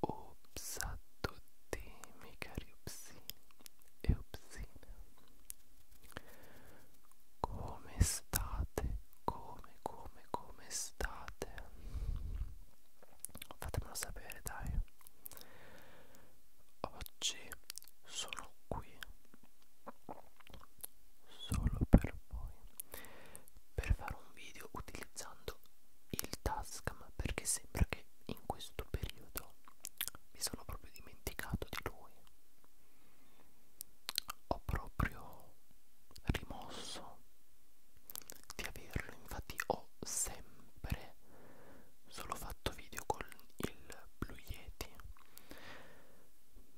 Ops a tutti miei cari upsini e upsine Come state? Come, come, come state? Fatemelo sapere dai Oggi sono qui solo per voi per fare un video utilizzando il Tascam perché sembra che in questo periodo mi sono proprio dimenticato di lui ho proprio rimosso di averlo infatti ho sempre solo fatto video con il blu lo Yeti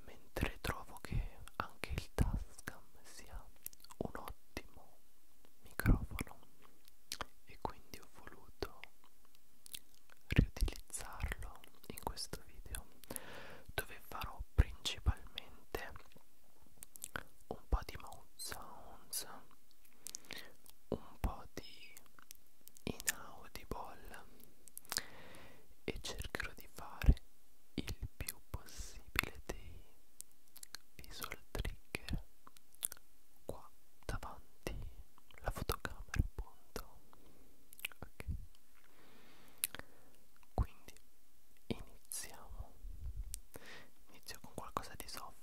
mentre trovo che anche il Tascam sia un ottimo microfono e quindi ho voluto riutilizzarlo in questo video dove farò principalmente un po' di mouth sounds un po' di inaudible e cercherò di di fare il più possibile dei visual trigger qua davanti la fotocamera appunto ok quindi iniziamo inizio con qualcosa di soft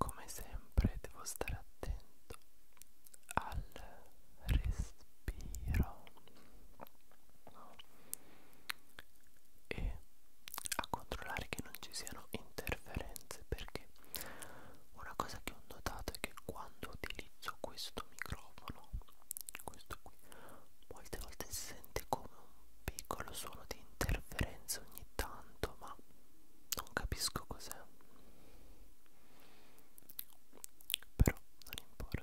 Come sempre devo stare attento al respiro e a controllare che non ci siano interferenze perché una cosa che ho notato è che quando quando utilizzo questo microfono questo qui molte volte si sente come un piccolo suono di interferenza ogni tanto ma non capisco cos'è però non importa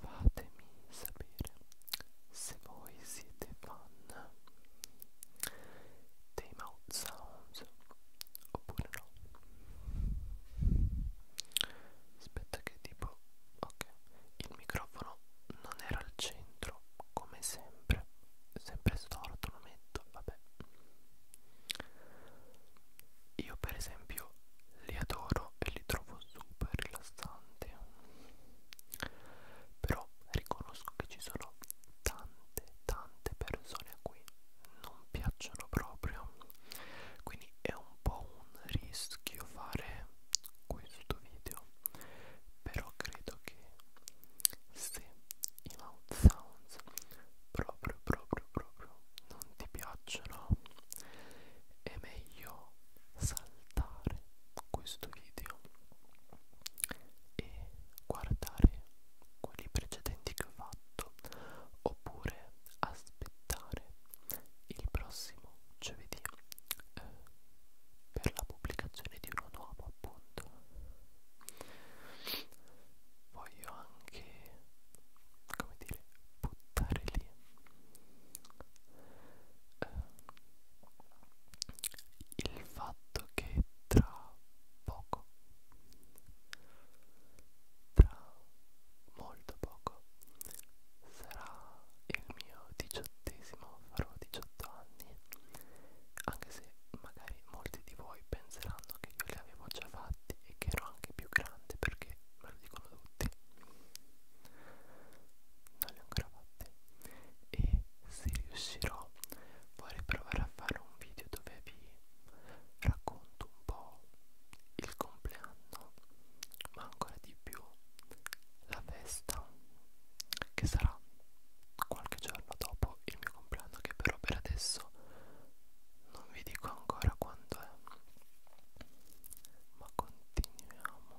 Fatemi sapere se você siete fan dei mouth sounds oppure no aspetta che tipo ok il microfono non era al centro come sempre sempre storto lo metto vabbè io per esempio li adoro e li trovo super rilassanti però riconosco che ci sono tante tante persone a cui non piacciono proprio quindi è un po' un rischio fare questo video però credo che se i mouth sounds proprio proprio proprio non ti piacciono è meglio saltare questo video e guardare quelli precedenti che ho fatto oppure aspettare il prossimo giovedì eh, per la pubblicazione di uno nuovo appunto voglio anche come dire buttare lì il fatto che tra poco tra molto poco sarà il mio diciottesimo farò 18 anni anche se magari molti di voi penseranno che io li avevo già fatti e che ero anche più grande perché me lo dicono tutti non li ho ancora fatti e se riuscirò vorrei provare a fare un video dove vi racconto un po' il compleanno ma ancora di più la festa che sarà qualche giorno dopo il mio compleanno che però per adesso non vi dico ancora quando è ma continuiamo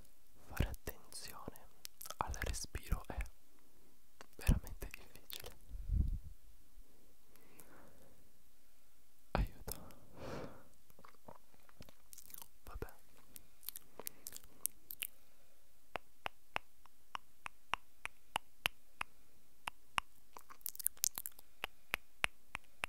fare attenzione al respiro è veramente difficile aiuto vabbè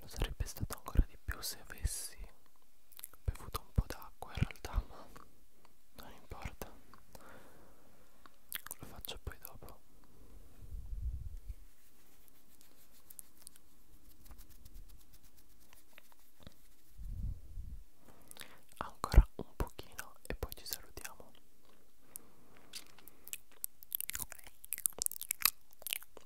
Lo sarebbe stato ancora di più se avessi bevuto un po' d'acqua in realtà, ma non importa. Lo faccio poi dopo. Ancora un pochino e poi ci salutiamo.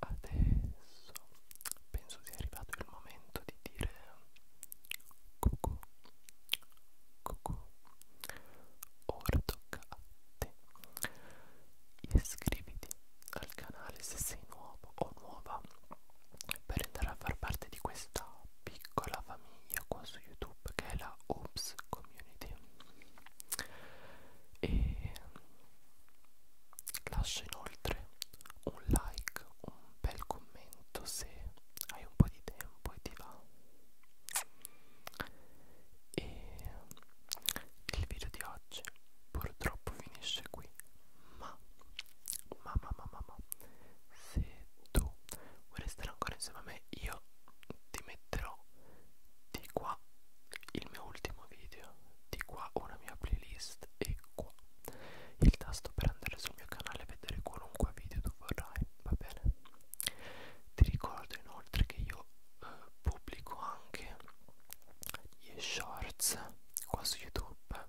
Adesso penso sia arrivato il momento di dire cucù, cucù, ora tocca a te. Iscriviti al canale se sei nuovo o nuova per andare a far parte di questa piccola famiglia qua su YouTube che è la Oops Community. E Lascia inoltre un like, un bel commento se hai un po' di tempo e ti va. E il video di oggi purtroppo finisce qui, ma ma ma ma ma, ma se tu vuoi restare ancora insieme a me io ti metterò di qua il mio ultimo video di qua ho una mia playlist e qua il tasto per andare sul mio canale e vedere qualunque video tu vorrai va bene ti ricordo inoltre che io eh, pubblico anche gli shorts qua su youtube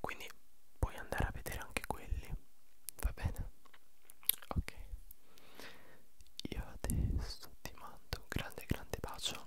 quindi puoi andare a vedere anche quelli va bene ok io adesso ti mando un grande grande bacio